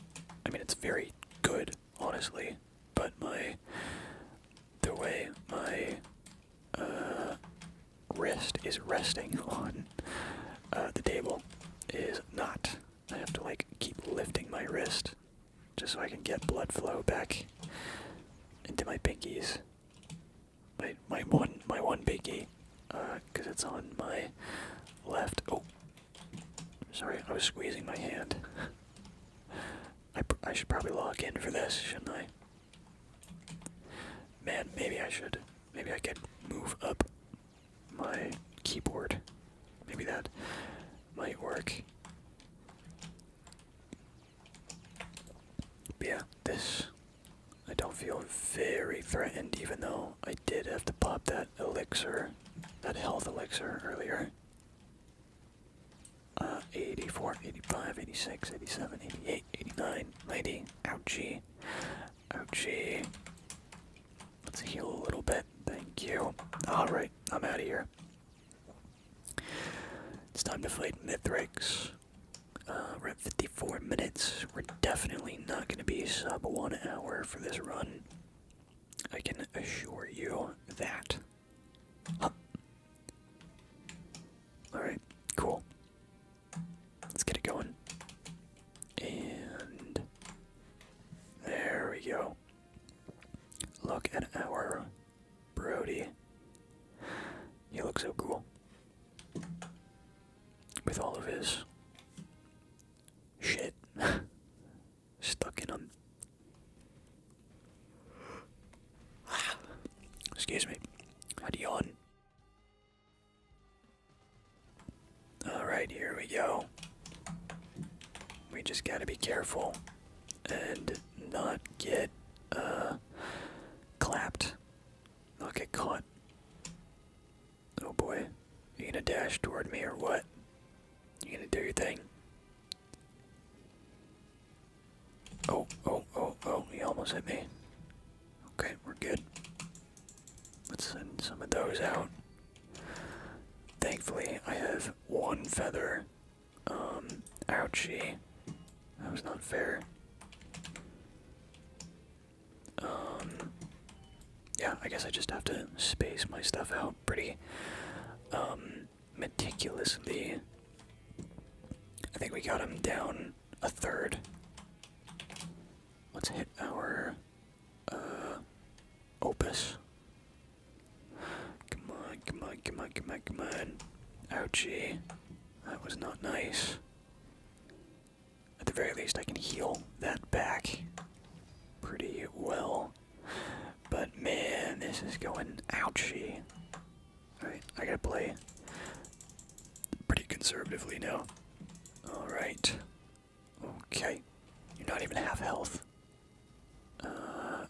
I mean it's very good honestly, but my the way my uh, wrist is resting on uh, the table is not. I have to like keep lifting my wrist just so I can get blood flow back into my pinkies. My my one my one pinky, because uh, it's on my left. Oh, sorry, I was squeezing my hand. I, I should probably log in for this, shouldn't I? Man, maybe I should. Maybe I could move up my keyboard. Maybe that might work. yeah, this. I don't feel very threatened, even though I did have to pop that elixir, that health elixir earlier. Uh, 84, 85, 86, 87, 88, 89, 90. Ouchie. Ouchie. Let's heal a little bit. Thank you. Alright, I'm out of here. It's time to fight Mithrix. Uh, we're at 54 minutes. We're definitely not going to be sub one hour for this run. I can assure you that. Up. Alright, cool. Let's get it going. And there we go. Look at our Brody. He looks so cool. With all of his shit stuck in him. Excuse me. How do you Alright, here we go. We just gotta be careful and not get uh clapped. Not get caught. Oh boy. You gonna dash toward me or what? You gonna do your thing? Oh, oh, oh, oh, he almost hit me. Okay, we're good. Let's send some of those out. Thankfully, I have one feather. Um, ouchie. That was not fair. Um, yeah, I guess I just have to space my stuff out pretty, um, meticulously. I think we got him down a third. Let's hit our uh, opus. Come on, come on, come on, come on, come on. Ouchie. That was not nice. At the very least, I can heal that back pretty well. But man, this is going ouchie. Alright, I gotta play pretty conservatively now. Alright. Okay. You're not even half health. Uh,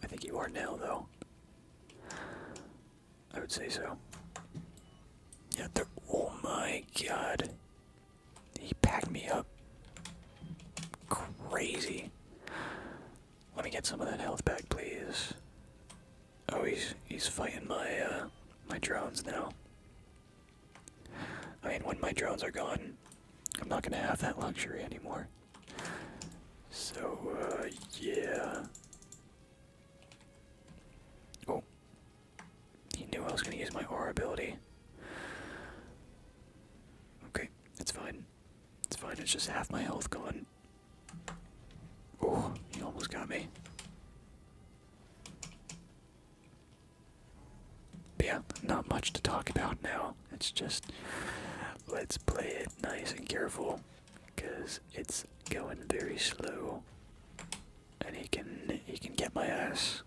I think you are now, though. I would say so. Yeah, they're. Oh my god. He packed me up. Crazy. Let me get some of that health back, please. Oh, he's he's fighting my uh, my drones now. I mean, when my drones are gone, I'm not gonna have that luxury anymore. So uh, yeah. Oh, he knew I was gonna use my aura ability. Okay, it's fine. It's fine. It's just half my health gone. Oh, he almost got me. yeah, not much to talk about now. It's just let's play it nice and careful because it's going very slow. And he can he can get my ass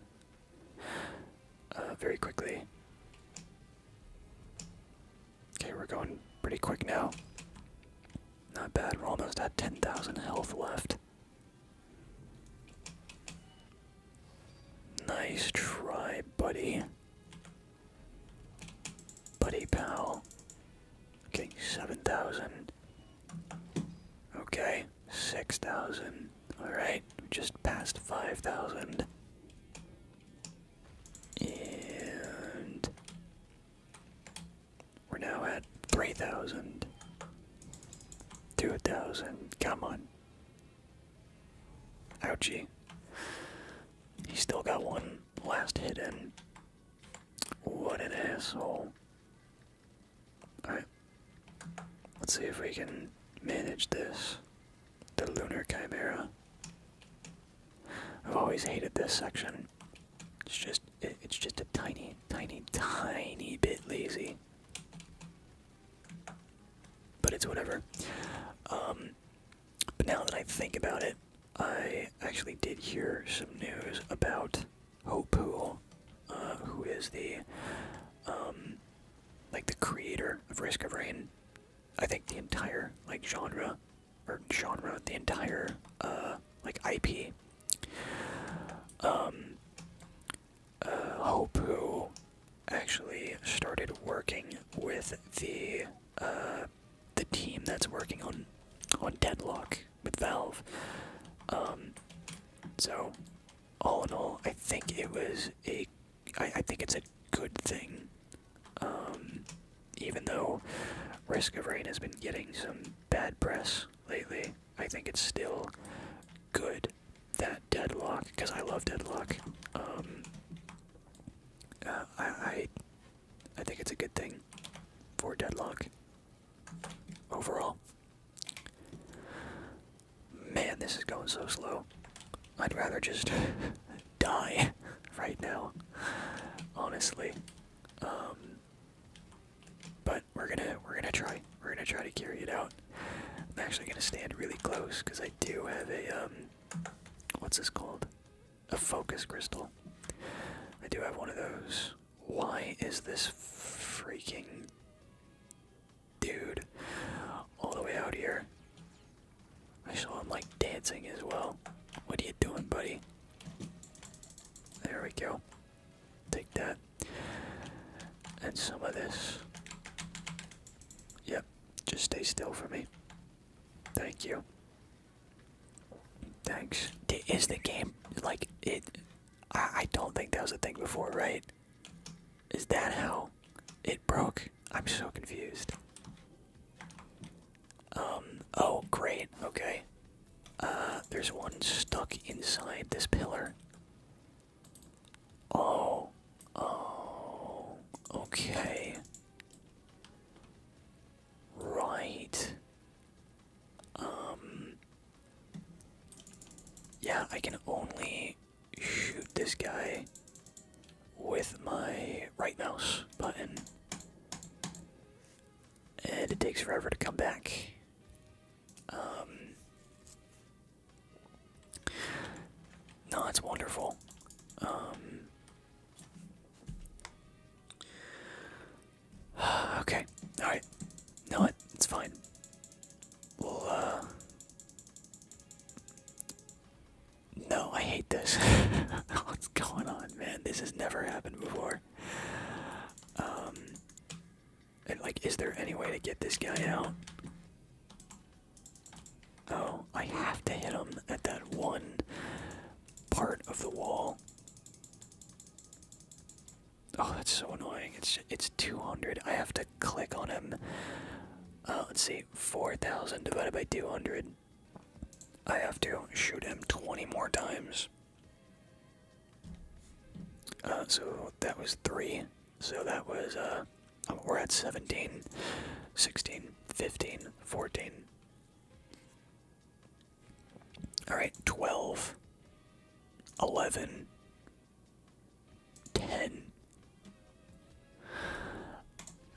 uh, very quickly. Okay, we're going pretty quick now. Not bad. We're almost at 10,000 health left. Nice try, buddy. Buddy pal. Okay, 7,000. Okay, 6,000. Alright, just past 5,000. And we're now at 3,000. 2,000. Come on. Ouchie. He still got one last hit in. What an asshole. Alright. Let's see if we can manage this. The Lunar Chimera. I've always hated this section. It's just it's just a tiny, tiny, tiny bit lazy. But it's whatever. Um, but now that I think about it, I actually did hear some news about Hope uh, who is the um, like the creator of Risk of Rain. I think the entire like genre or genre, the entire uh, like IP. Um, uh, Hope, who actually started working with the uh, the team that's working on on Deadlock with Valve. Um, so all in all, I think it was a I think it's a good thing um, even though Risk of Rain has been getting some bad press lately, I think it's still good that Deadlock, because I love Deadlock. Um, uh, I, I think it's a good thing for Deadlock overall. Man, this is going so slow. I'd rather just die right now, honestly. Um, but we're gonna we're gonna try we're gonna try to carry it out. I'm actually gonna stand really close because I do have a um, what's this called? A focus crystal. I do have one of those. Why is this freaking dude all the way out here? I saw him like dancing as well. What are you doing, buddy? There we go. Take that. And some of this. Yep, just stay still for me. Thank you. Thanks. Is the game like it? I, I don't think that was a thing before, right? Is that how it broke? I'm so confused. Um, oh, great, okay. Uh, there's one stuck inside this pillar. Oh, oh, okay. Right. Um, yeah, I can only shoot this guy with my right mouse button and it takes forever to come back. Um, no, it's wonderful. Um, okay, all right. No, it's fine. Uh, no, I hate this. What's going on? man. This has never happened before. Um, like, is there any way to get this guy out? Oh, I have to hit him at that one part of the wall. Oh, that's so annoying. It's it's 200. I have to click on him. Uh, let's see, 4,000 divided by 200. I have to shoot him 20 more times. Uh, so that was 3. So that was, uh, we're at 17, 16, 15, 14. Alright, 12, 11, 10,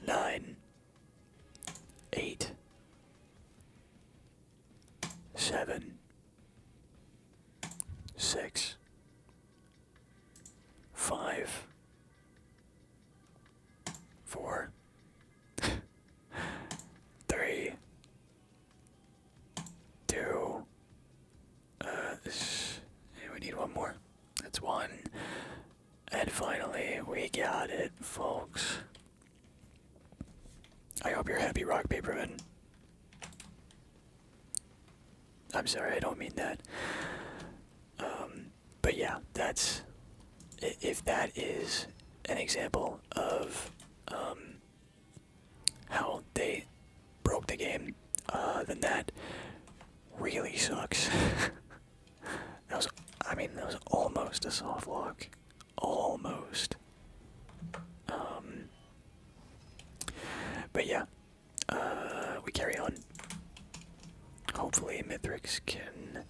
9, eight, seven, six, five, four, three, two, uh, we need one more. That's one. And finally, we got it, folks. I hope you're happy, Rock Paper Paperman. I'm sorry, I don't mean that. Um, but yeah, that's if that is an example of um, how they broke the game, uh, then that really sucks. That was, I mean, that was almost a soft lock. Almost. Um, but yeah, uh, we carry on. Hopefully, Mithrix can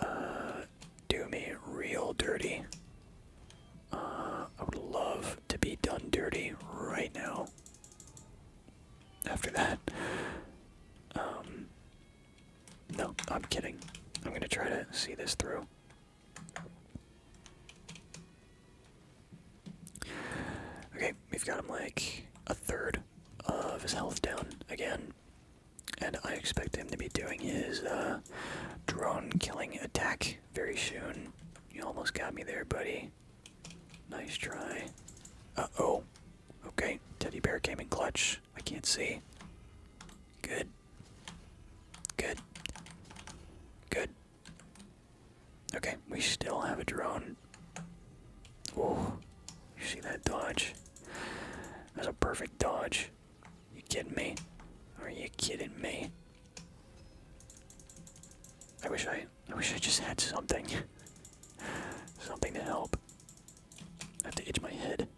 uh, do me real dirty. Uh, I would love to be done dirty right now. After that, um, no, I'm kidding. I'm gonna try to see this through. Okay, we've got him like a third of his health down again. And I expect him to be doing his uh, drone killing attack very soon. You almost got me there, buddy. Nice try. Uh oh. Okay, teddy bear came in clutch. I can't see. Good. Good. Good. Okay, we still have a drone. Oh, you see that dodge? That's a perfect dodge. You kidding me? Are you kidding me? I wish I, I wish I just had something, something to help. I have to itch my head.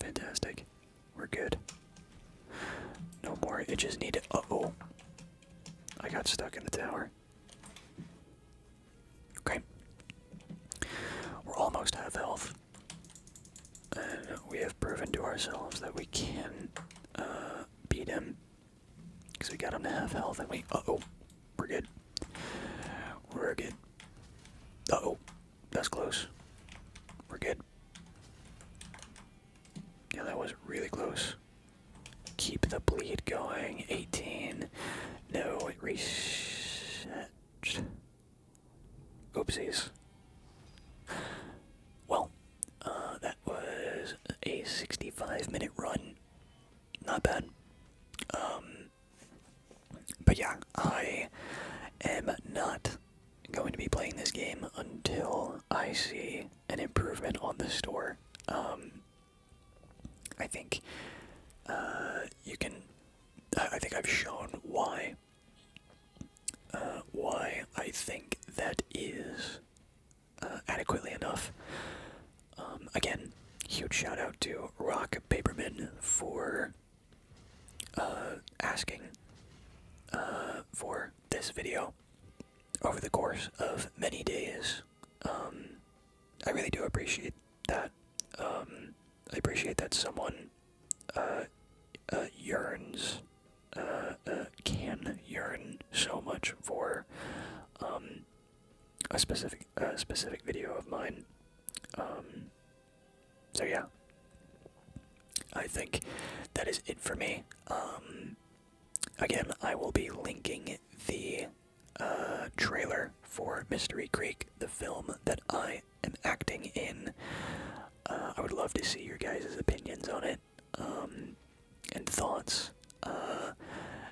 Fantastic. We're good. No more itches needed. Uh oh. I got stuck in the tower. Okay. We're almost out of health. And we have proven to ourselves that we can uh, beat him. Because we got him to have health and we. oh. We're good. We're good. oh, that's close. We're good. Yeah, that was really close. Keep the bleed going. 18. No, it reset. Oopsies. Well, uh, that was a 65 minute run. Not bad. Um, but yeah, I am not going to be playing this game until I see an improvement on the store. Um, I think uh, you can. I think I've shown why. Uh, why I think that is uh, adequately enough. Um, again, huge shout out to Rock Paper Man for uh, asking uh, for this video over the course of many days. Um, I really do appreciate that. Um, I appreciate that someone uh, yearns, can yearn so much for um, a specific, a specific video of mine. So yeah, I think that is it for me. Um, again, I will be linking the uh, trailer for Mystery Creek, the film that I am acting in. Uh, I would love to see your guys' opinions on it um, and thoughts. Uh,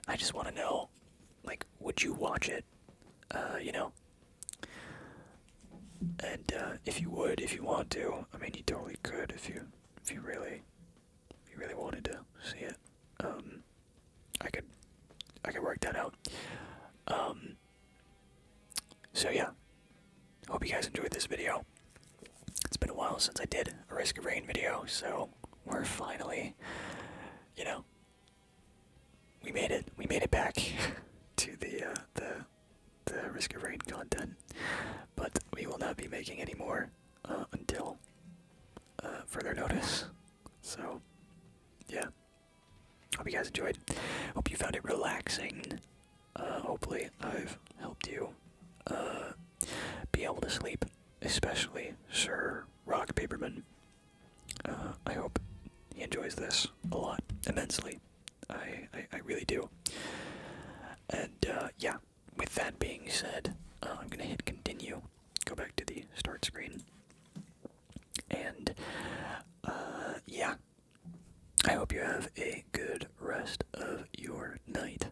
I just want to know, like, would you watch it? you know, and uh, if you would, if you want to, I mean, you totally could if you if you really if you really wanted to see it. Um, I could I could work that out. Um, so yeah, hope you guys enjoyed this video. It's been a while since I did a Risk of Rain video, so we're finally, you know, we made it. We made it back to the uh, the the risk of rain content, but we will not be making any more uh, until uh, further notice. So, yeah. Hope you guys enjoyed. Hope you found it relaxing. hopefully, I've helped you be able to sleep, especially Sir Rock Paperman. Uh, I hope he enjoys this a lot, immensely. I, I, really do. And uh, yeah, with that being said, uh, I'm going to hit continue, go back to the start screen. And yeah, I hope you have a good rest of your night.